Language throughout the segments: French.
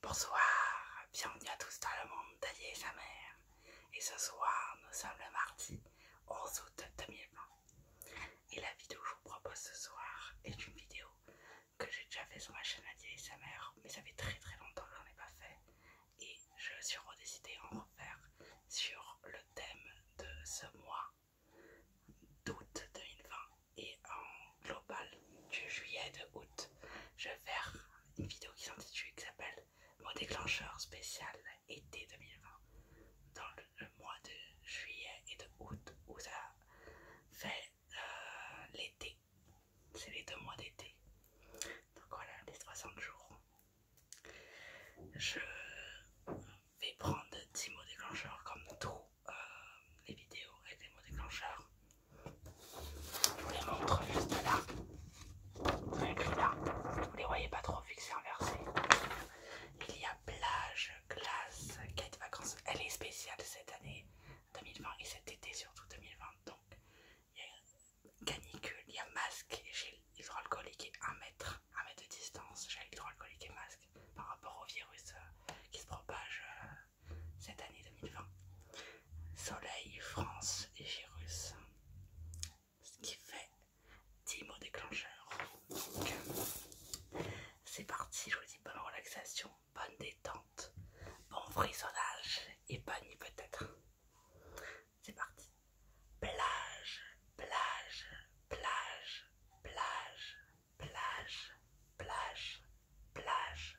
Bonsoir, bienvenue à tous dans le monde d'Adia et sa mère. Et ce soir, nous sommes le mardi 11 août 2020. Et la vidéo que je vous propose ce soir est une vidéo que j'ai déjà fait sur ma chaîne Adia et sa mère, mais ça fait très très longtemps que n'en ai pas fait. Et je suis redécidée à en refaire sur le thème de ce mois d'août 2020 et en global du juillet de août je vais faire une vidéo qui s'intitule qui s'appelle mon déclencheur spécial été 2020 dans le, mois de juillet et de août où ça fait euh, l'été c'est les deux mois d'été donc voilà les 60 jours je vais prendre 10 mots déclencheurs comme tout les vidéos les mots déclencheurs Je vous les montre juste là. Vous Vous les voyez pas trop fixés inversés. Il y a plage, glace, quête vacances. Elle est spéciale cette année 2020 et cet été surtout 2020. Donc il y a canicule, il y a masque et j'ai hydroalcoolique et un mètre, 1 mètre de distance, j'ai hydroalcoolique et masque par rapport au virus euh, qui se propage. Euh, cette année 2020. Soleil, France et virus. Ce qui fait 10 mots déclencheurs. c'est parti, je vous dis bonne relaxation, bonne détente, bon frissonnage et bonne nuit peut-être. C'est parti. Plage, plage, plage, plage, plage, plage, plage,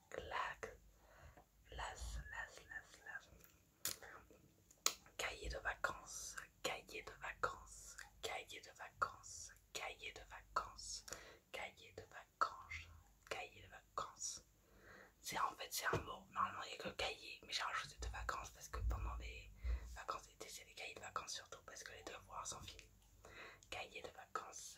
claque, las, las, las, las. Cahier de vacances, cahier de vacances, cahier de vacances, cahier de vacances, cahier de vacances, cahier de vacances. C'est en fait c'est un mot. Normalement il a que cahier, mais j'ai rajouté de vacances parce que pendant les vacances c'est des cahiers de vacances surtout parce que les devoirs sont finis. Cahier de vacances,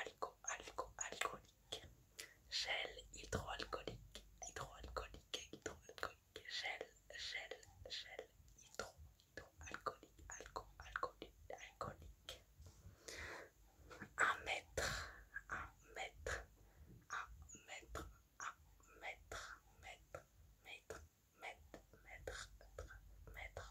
alco alcoolique gel hydroalcoolique hydroalcoolique hydroalcoolique gel gel gel hydro hydroalcoolique alco alcoolique alcoolique un mètre un mètre un mètre un mètre mètre mètre mètre mètre mètre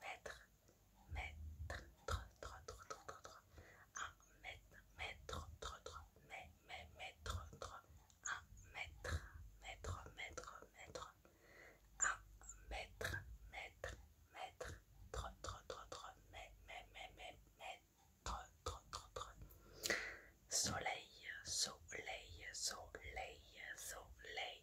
mètre, mètre, trop trop un mètre, mètre, mais, mais, mètre, un mètre, mètre, mètre, mètre, un mètre, mètre, mètre, tro mais, mais, mais, mais, mètre, trop. soleil, soleil, soleil, soleil.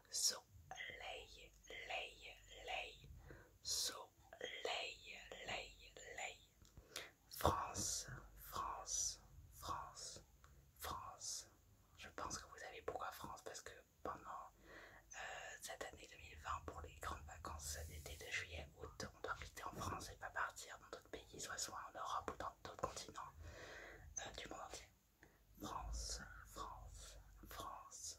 So-lay, lay, lay, so lay, lay. France, France, France, France. Je pense que vous savez pourquoi France parce que pendant euh, cette année 2020, pour les grandes vacances d'été de juillet, août, on doit rester en France et pas partir dans d'autres pays, soit soit en Europe ou dans d'autres continents euh, du monde entier. France, France, France,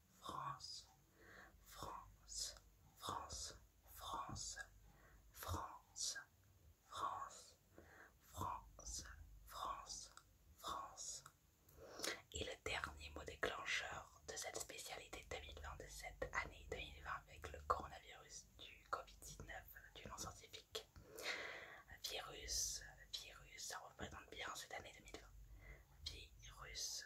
France, France, France, France, France, France, France, France, France. Et le dernier mot déclencheur de cette spécialité 2020 de cette année 2020 avec le coronavirus du Covid-19 du nom scientifique. Virus, virus, ça représente bien cette année 2020. Virus,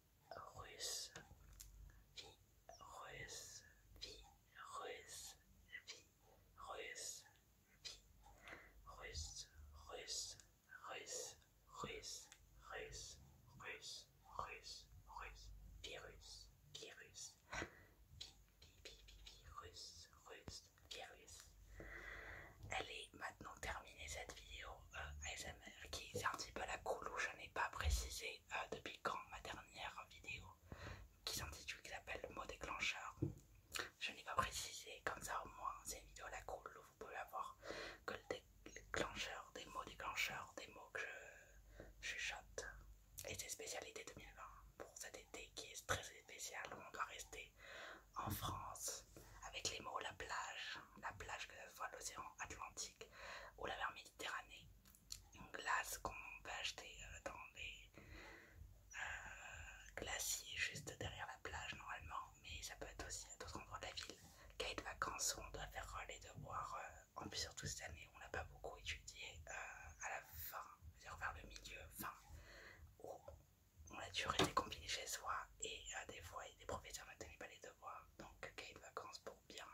russe, vie russe, vie russe, vie russe, vie russe, russe, russe, russe, russe, russe, russe, virus virus, virus, virus, russe, virus. Elle est maintenant terminée cette vidéo ASMR qui est un petit peu la coulou, je n'ai pas précisé euh, depuis quand ma dernière vidéo qui s'intitule, qui s'appelle mot déclencheur. Je n'ai pas précisé, comme ça au moins c'est une vidéo la cool où vous pouvez avoir que le déclencheur, des mots déclencheurs, des mots que je chuchote. Et c'est spécialité 2020 pour cet été qui est très spécial où on doit rester en France avec les mots la plage, la plage que ce soit l'océan Atlantique ou la mer Méditerranée. Une glace qu'on peut acheter euh, dans les euh, glaciers juste derrière la plage normalement, mais ça peut être aussi à d'autres endroits de la ville. Kate vacances où on doit faire euh, les devoirs, euh, en plus surtout cette année on n'a pas beaucoup étudié à la fin, à dire vers le milieu, fin, où on a toujours été confiné chez soi et à des fois des professeurs ne pas pas les devoirs, donc Kate vacances pour bien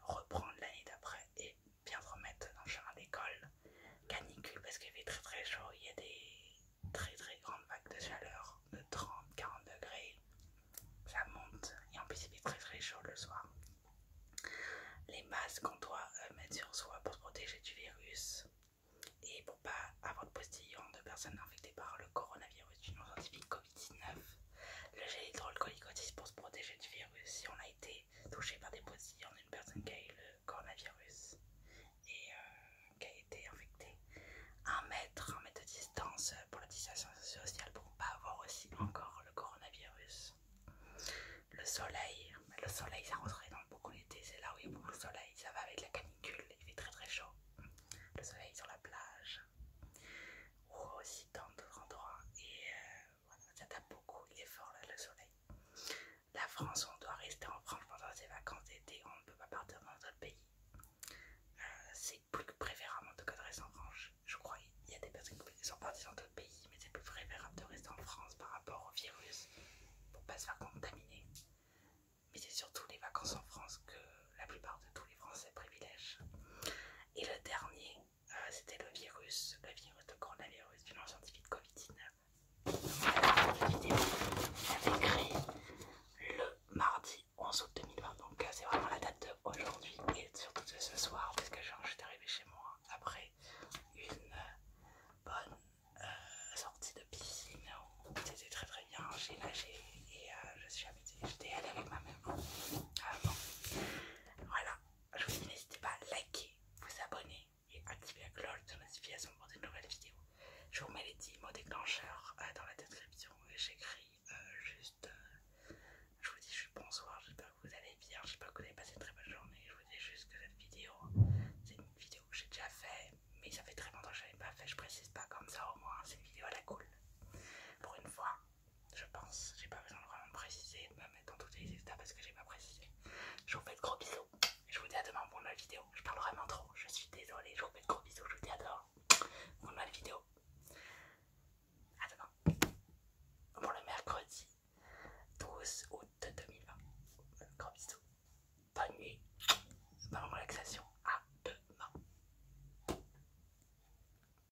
reprendre l'année d'après et bien remettre dans le chemin d'école. Canicule parce qu'il fait très très chaud, il y a des très très grandes vagues de chaleur de 30-40 degrés. Ça monte et en plus il fait très très chaud le soir. Les masques qu'on doit euh, mettre sur soi pour se protéger du virus et pour pas avoir de postillon de personnes infectées par le coronavirus, le gel hydroalcoolique pour se protéger du virus si on a été touché par des en une personne qui a eu le coronavirus et euh, qui a été infectée. Un mètre, un mètre de distance pour la distanciation sociale pour ne pas avoir aussi encore le coronavirus. Le soleil, le soleil ça rentrait dans beaucoup l'été, c'est là où il y a beaucoup de soleil, ça va avec la canicule, il fait très très chaud. Le soleil sur la plage, ou aussi dans d'autres endroits. Et euh, voilà, ça tape beaucoup, il est fort le soleil. La France, on doit rester en France pendant ses vacances d'été, on ne peut pas partir dans d'autres pays. Euh, c'est plus préférable de rester en France, je crois. Il y a des personnes qui sont parties dans d'autres pays, mais c'est plus préférable de rester en France par rapport au virus pour pas se faire contaminer. Mais c'est surtout les vacances en France que la plupart de tous les Français privilègent. Et le dernier, euh, c'était le virus, le virus de coronavirus, du nom scientifique Covid-19. La vidéo est créé le mardi 11 août 2020, donc euh, c'est vraiment la date d'aujourd'hui et surtout de ce soir, parce que je suis arrivée chez moi après une euh, bonne sortie de piscine c'était très très bien, j'ai nagé et je suis habitée, j'étais allée avec ma mère ah, voilà, je vous dis n'hésitez pas à liker, vous abonner et activer la cloche de notification pour de nouvelles vidéos. Je vous mets les 10 mots déclencheurs euh, dans la description et j'écris euh, juste. Euh, je vous dis je bonsoir, j'espère que vous allez bien, j'espère que vous avez passé une très bonne journée. Je vous dis juste que cette vidéo, c'est une vidéo que j'ai déjà faite, mais ça fait très longtemps que je n'avais pas fait, je précise pas comme ça au moins, c'est une vidéo à la cool. Pour une fois, je pense. J'ai pas besoin de vraiment préciser, de me mettre dans toutes les états parce que j'ai pas précisé. Je vous fais de gros bisous. Je vous dis à demain pour une nouvelle vidéo. Je parle vraiment trop. Je suis désolée. Je vous fais de gros bisous. Je vous dis à demain pour une nouvelle vidéo. À demain. Pour le mercredi 12 août 2020. Gros bisous. Bonne nuit. Bonne relaxation. À demain.